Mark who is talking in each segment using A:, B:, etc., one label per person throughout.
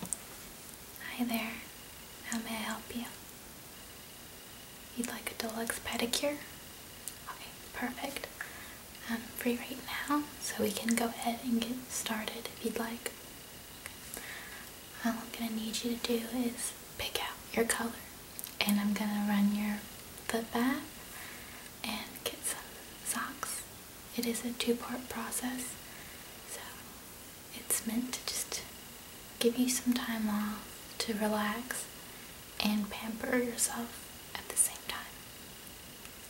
A: Hi there, how may I help you? You'd like a deluxe pedicure? Okay, perfect. I'm free right now, so we can go ahead and get started if you'd like. All I'm gonna need you to do is pick out your color, and I'm gonna run your foot bath and get some socks. It is a two-part process, so it's meant to just give you some time off to relax and pamper yourself at the same time.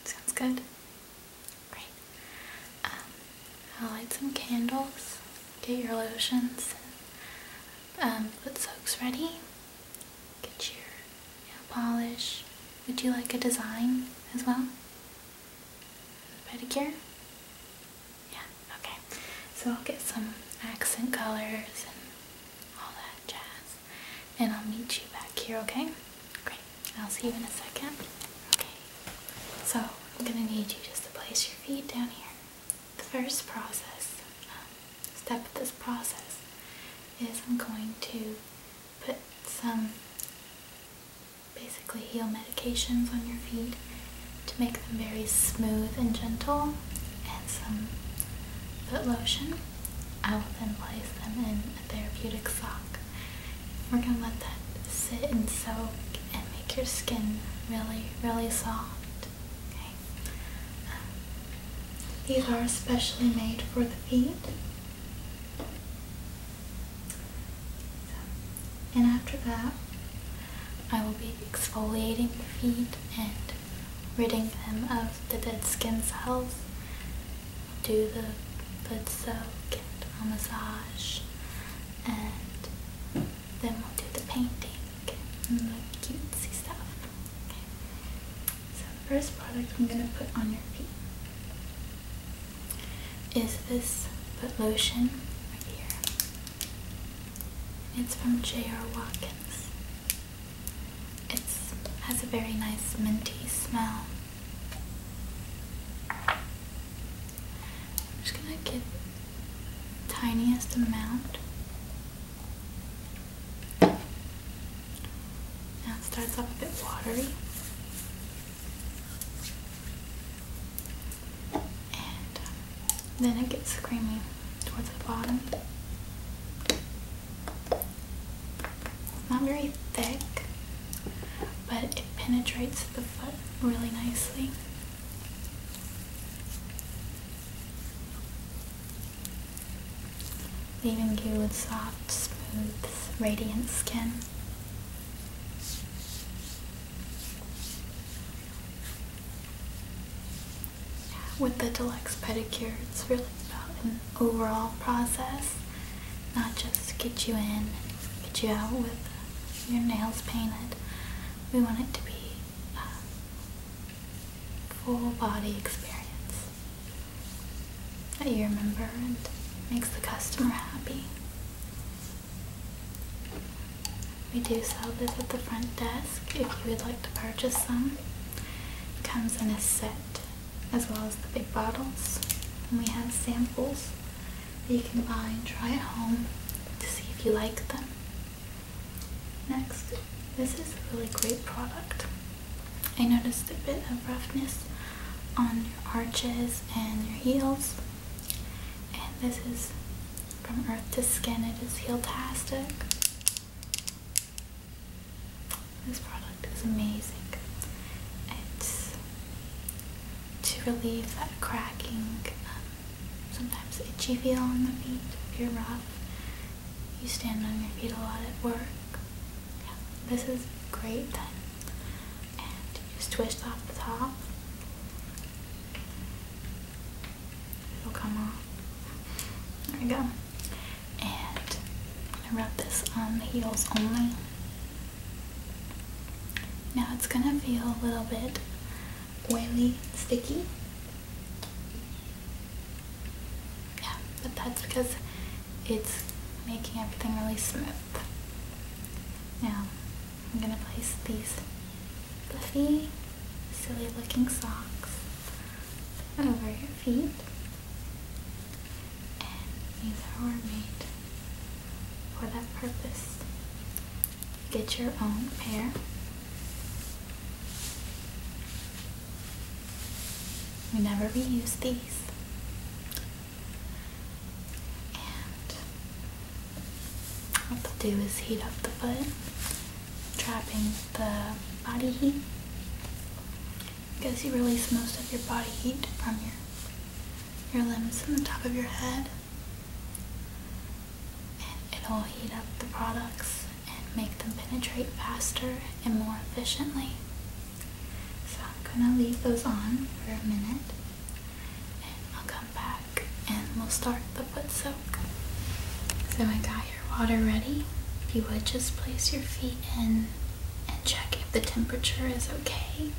A: Sounds good? Great. Um, I'll light some candles, get your lotions, um, put soaks ready, get your nail polish. Would you like a design as well? Pedicure? Yeah, okay. So I'll get some accent colors and all that jazz. And I'll meet you back here, okay? Great. I'll see you in a second. Okay. So I'm going to need you just to place your feet down here. The first process, um, step of this process, is I'm going to put some basically heel medications on your feet to make them very smooth and gentle and some foot lotion. I will then place them in a therapeutic sock. We're going to let that sit and soak and make your skin really, really soft. Okay. Um, these are especially made for the feet and after that, I will be exfoliating the feet and ridding them of the dead skin cells. Do the foot soak and massage, and then we'll do the painting and the cutesy stuff. So the first product I'm gonna put on your feet is this But lotion right here. It's from J.R. Watkins. It has a very nice minty smell. I'm just gonna get tiniest amount. Now it starts off a bit watery. And uh, then it gets creamy towards the bottom. It's not very thick, but it penetrates the foot really nicely. Leaving you with soft, smooth, radiant skin. With the deluxe pedicure, it's really about an overall process, not just get you in, get you out with your nails painted. We want it to be a uh, full body experience that you remember and makes the customer happy. We do sell this at the front desk if you would like to purchase some. comes in a set as well as the big bottles. we have samples that you can buy and try at home to see if you like them. Next, this is a really great product. I noticed a bit of roughness on your arches and your heels. And this is from Earth to Skin. It is heel tastic. This product is amazing. It's to relieve that cracking, um, sometimes itchy feel on the feet if you're rough. You stand on your feet a lot at work. this is great and you just twist off the top. It'll come off. There we go. And I rub this on the heels only. Now it's gonna feel a little bit oily, sticky yeah, but that's because it's making everything really smooth. Now, I'm gonna place these fluffy, silly looking socks over your feet. And these are made for that purpose. Get your own pair. We never reuse these. And what they'll do is heat up the foot, trapping the body heat. Because you release most of your body heat from your your limbs and the top of your head. And it'll heat up the products and make them penetrate faster and more efficiently. So I'm gonna leave those on for a minute and I'll come back and we'll start the foot soak. So I got your water ready. you would just place your feet in and check if the temperature is okay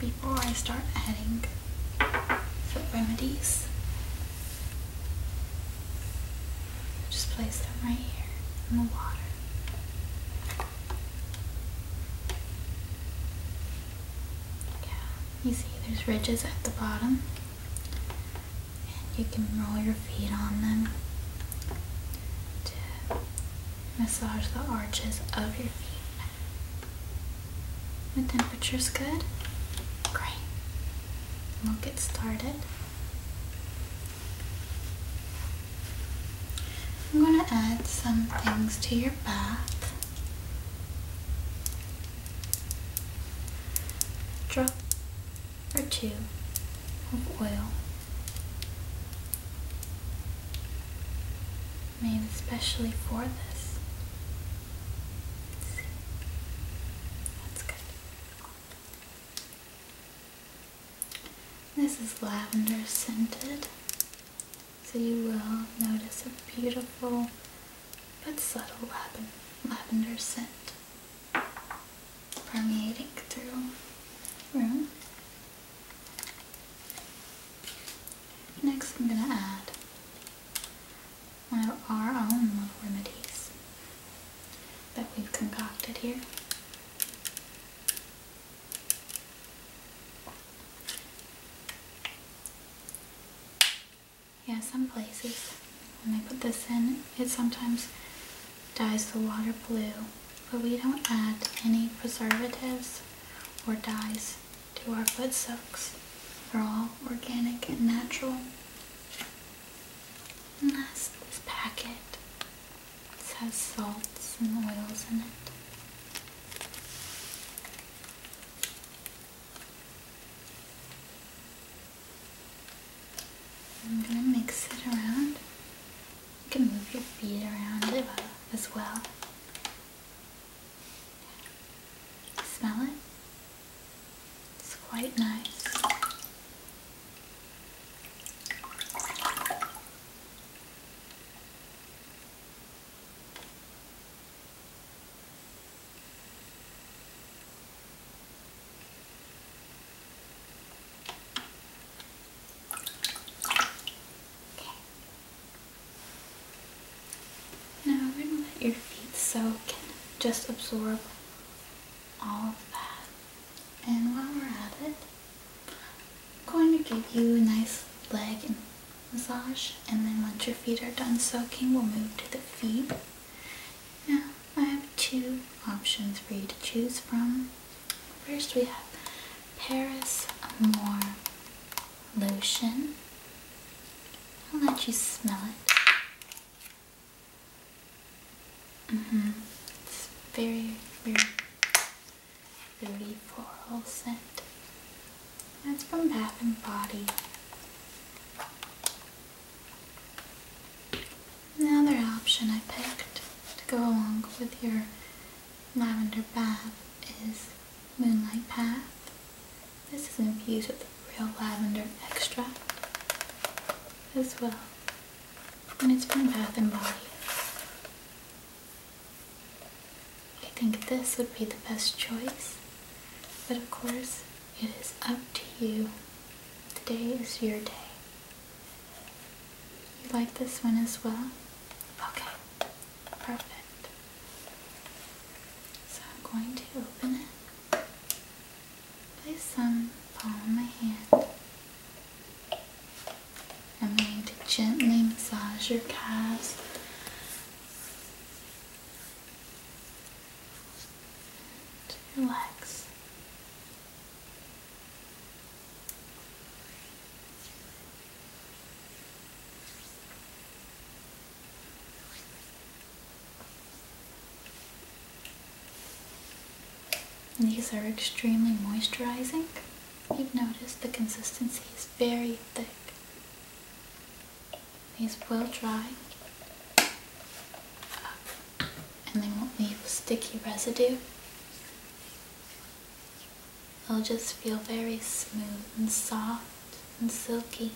A: before I start adding foot remedies. Just place them right here in the water. Yeah, you see there's ridges at the bottom, and you can roll your feet on them to massage the arches of your feet. The temperature's good. Great. We'll get started. I'm going to add some things to your bath. Drop or two of oil. Made especially for this. That's good. This is lavender scented, so you will notice a beautiful but subtle lavender scent permeating through the room. Next I'm going to add one of our own little remedies that we've concocted here. Yeah, some places when they put this in, it sometimes dyes the water blue, but we don't add any preservatives or dyes to our food soaks. They're all organic and natural this packet. has salts and oils in it. I'm gonna mix it around. You can move your feet around as well. Smell it? It's quite nice. Okay. Now we're going to let your feet soak just absorb all of that. And while we're at it, I'm going to give you a nice leg massage. And then once your feet are done soaking, we'll move to the feet. Now, I have two options for you to choose from. First, we have Paris More lotion. I'll let you smell it. Mm hmm It's very, very fruity floral That's from Bath and Body. Another option I picked to go along with your lavender bath is Moonlight Path. This is infused with real lavender extract as well. And it's from Bath and Body. I think this would be the best choice, but of course, it is up to you. Today is your day. You like this one as well? Okay, perfect. So I'm going to open it place some palm on my hand. I'm going to gently massage your calves. relax. These are extremely moisturizing. You've noticed the consistency is very thick. These will dry and they won't leave sticky residue. They'll just feel very smooth and soft and silky.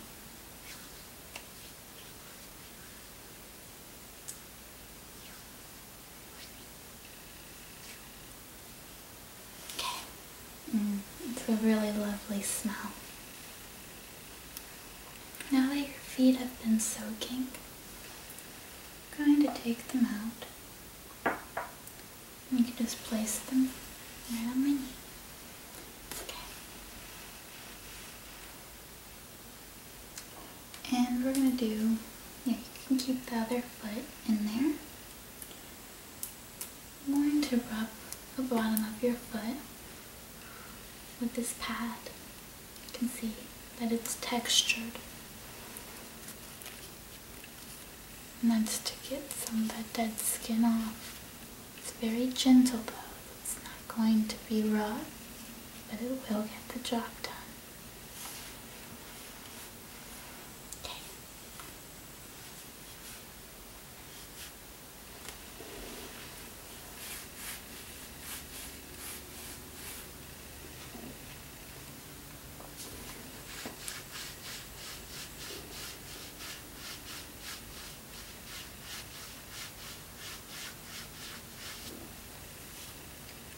A: Okay. Mm, it's a really lovely smell. Now that your feet have been soaking, I'm going to take them out. And you can just place them right on my knee. Okay. And we're going to do, yeah, you can keep the other foot in there. I'm going to rub the bottom of your foot with this pad. You can see that it's textured. And that's to get some of that dead skin off. It's very gentle though. It's not going to be rough, but it will get the job done. Okay.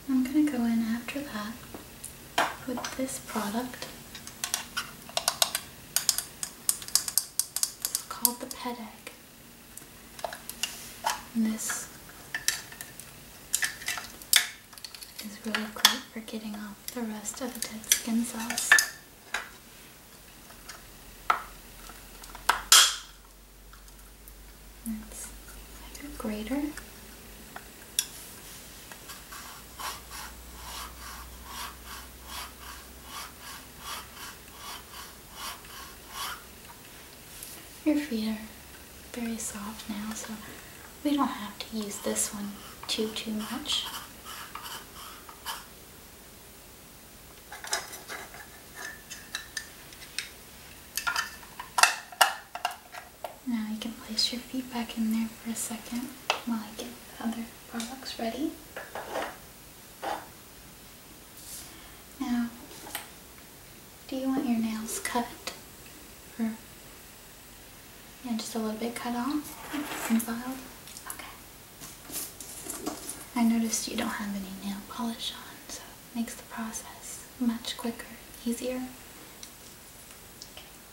A: I'm going to go in after that with this product. It's called the Pet Egg. And this is really great for getting off the rest of the dead skin cells. Let's do grater. Your feet are very soft now, so we don't have to use this one too, too much. Now you can place your feet back in there for a second while I get the other products ready. Now, do you want your nails cut? Or yeah, just a little bit cut off and filed? Okay. I noticed you don't have any nail polish on, so it makes the process much quicker, easier.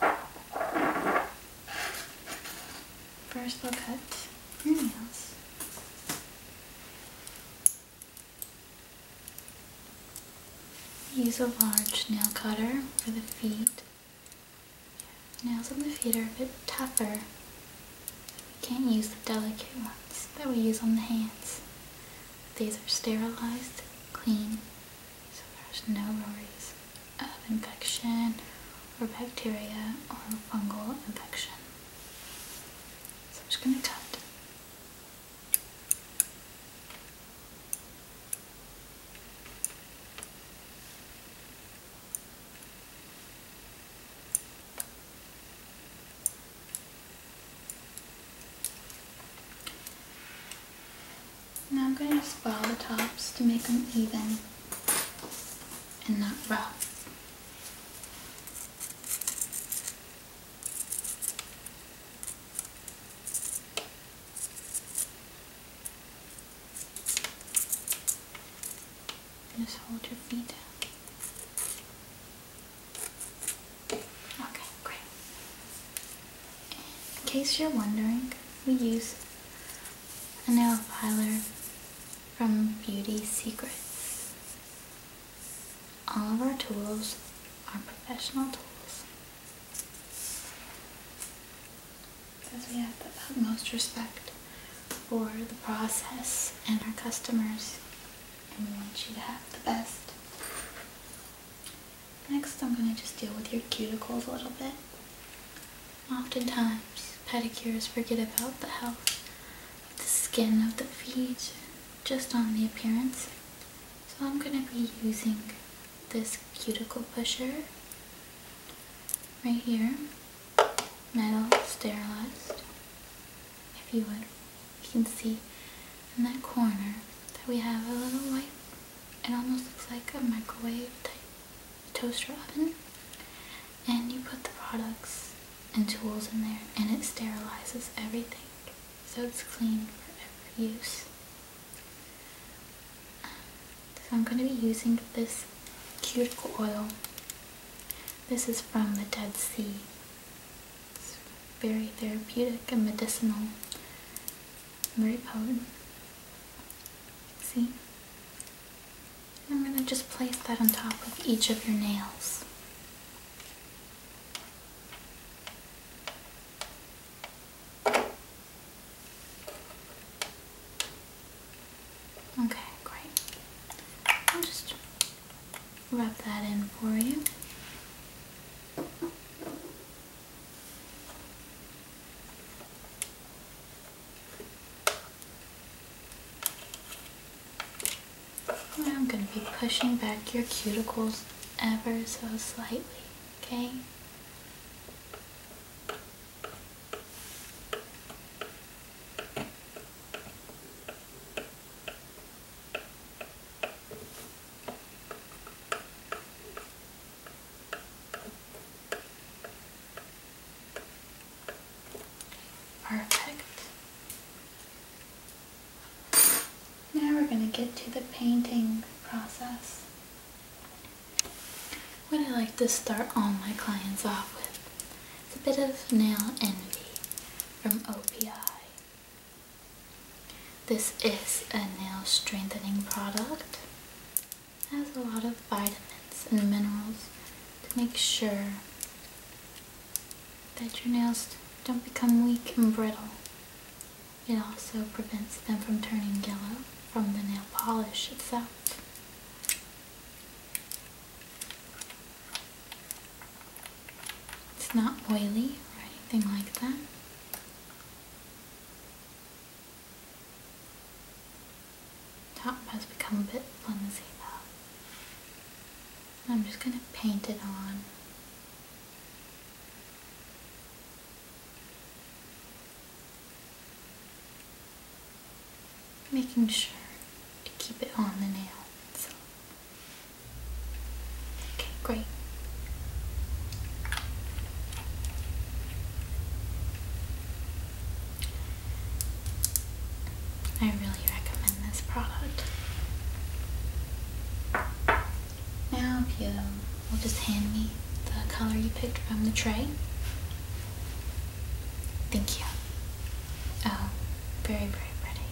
A: Okay. First we'll cut your nails. Use a large nail cutter for the feet. Nails on the feet are a bit tougher. We can't use the delicate ones that we use on the hands. These are sterilized, clean, so there's no worries of infection or bacteria or fungal infection. So I'm just going to cut. Now I'm going to swirl the tops to make them even and not rough. Just hold your feet. Okay, great. In case you're wondering, we use a nail filer from Beauty Secrets. All of our tools are professional tools because we have the utmost respect for the process and our customers, and we want you to have the best. Next, I'm going to just deal with your cuticles a little bit. Oftentimes, pedicures forget about the health of the skin of the feet, just on the appearance. So I'm going to be using this cuticle pusher right here metal sterilized. If you would, you can see in that corner that we have a little white, it almost looks like a microwave type toaster oven. And you put the products and tools in there and it sterilizes everything so it's clean for every use. Um, so I'm going to be using this cuticle oil. This is from the Dead Sea. It's very therapeutic and medicinal. Very potent. See? I'm going to just place that on top of each of your nails. Okay, great. I'll just rub that in for you. And I'm going to be pushing back your cuticles ever so slightly, okay? Perfect. Now we're going to get to the painting process. What I like to start all my clients off with is a bit of Nail Envy from OPI. This is a nail strengthening product. It has a lot of vitamins and minerals to make sure that your nails don't become weak and brittle. It also prevents them from turning yellow from the nail polish itself. It's not oily or anything like that. Top has become a bit flimsy though. I'm just gonna paint it on making sure to keep it on the nail. Okay, great. I really recommend this product. Now, if you will just hand me the color you picked from the tray, Thank you. Oh, very, very ready.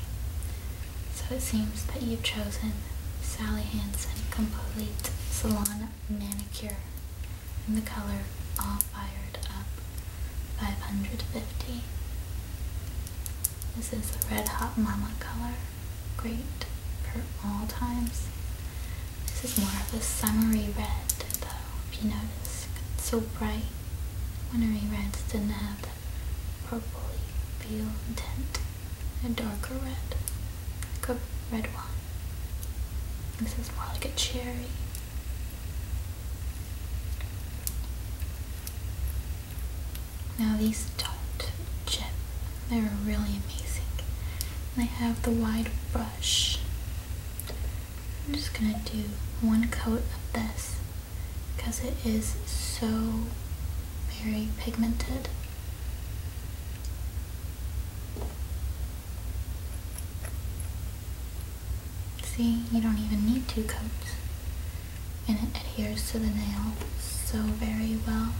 A: So it seems that you've chosen Sally Hansen Complete Salon Manicure in the color All Fired Up 550. This is the Red Hot Mama color. Great for all times. This is more of a summery red though, if you notice. It's so bright. Winery reds didn't have that purpley feel tint. A darker red. Like a red wine. This is more like a cherry. Now these don't chip. They're really amazing. They have the wide brush I'm just gonna do one coat of this because it is so very pigmented. See, you don't even need two coats and it adheres to the nail so very well.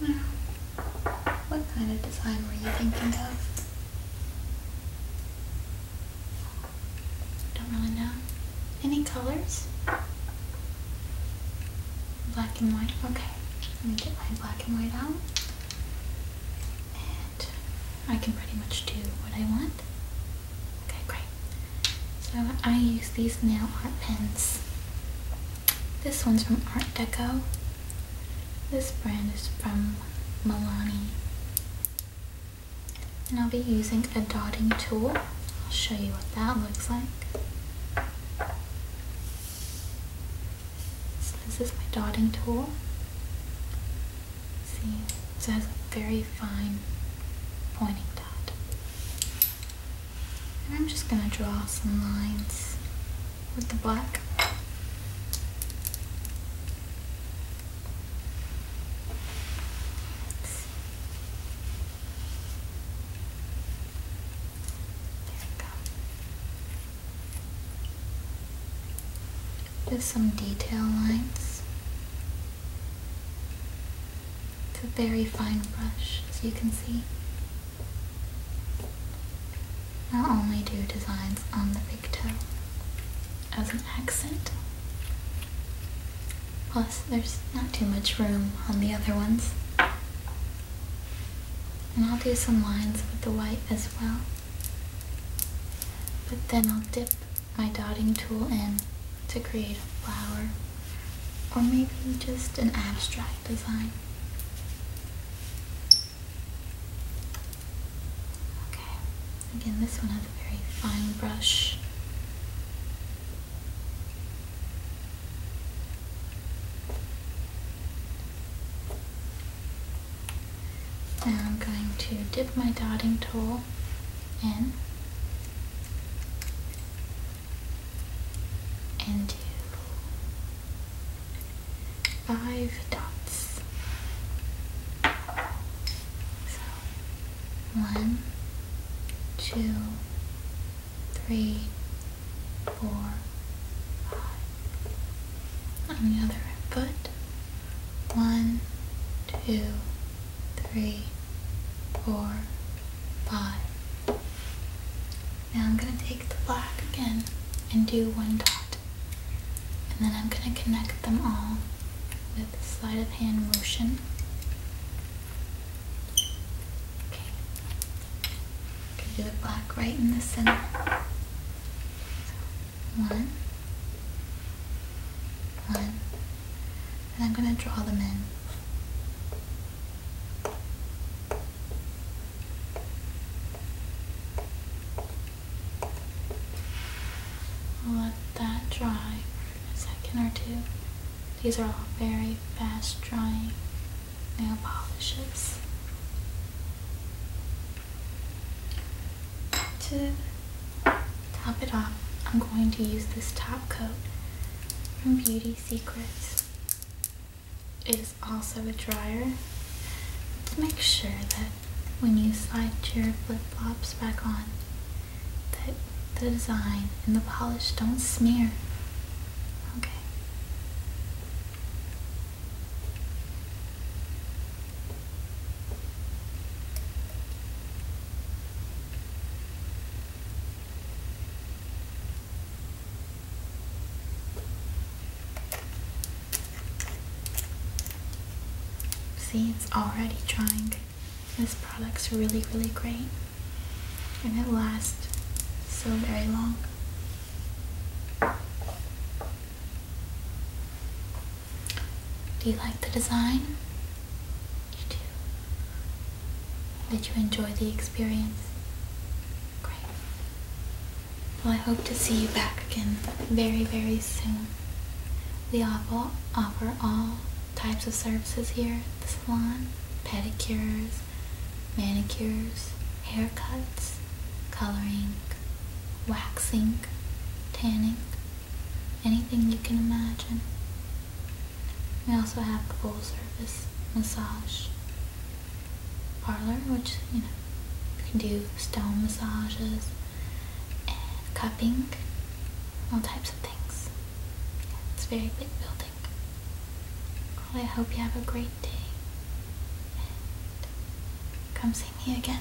A: Now, what kind of design were you thinking of? Don't really know. Any colors? Black and white? Okay. Let me get my black and white out. I can pretty much do what I want. Okay, great. So I use these nail art pens. This one's from Art Deco. This brand is from Milani. And I'll be using a dotting tool. I'll show you what that looks like this is my dotting tool. See, it has a very fine pointing dot. And I'm just going to draw some lines with the black. There we go. Just some detail lines. It's a very fine brush, as you can see. I'll only do designs on the big toe as an accent, plus there's not too much room on the other ones. And I'll do some lines with the white as well. But then I'll dip my dotting tool in to create a flower or maybe just an abstract design. Okay, again this one has a very fine brush. Now I'm going to dip my dotting tool in and do five dots. So one, two, three, four, five. On the other foot, one, two, three, four, five. Now I'm going to take the black again and do one dot. And then I'm going to connect them all with a sleight of hand motion. Okay. Gonna black right in the center. one, one, and I'm gonna draw them in. Let that dry for a second or two. These are all very fast drying nail polishes to top it off I'm going to use this top coat from Beauty Secrets it is also a dryer to make sure that when you slide your flip-flops back on that the design and the polish don't smear okay See, it's already drying. This product's really, really great. And it lasts so very long. Do you like the design? You do. Did you enjoy the experience? Great. Well, I hope to see you back again very, very soon. We offer, offer all types of services here the salon pedicures, manicures, haircuts, coloring, waxing, tanning, anything you can imagine. We also have full service massage parlor, which, you know, can do stone massages and cupping, all types of things. it's a very big building. I hope you have a great day. come see me again.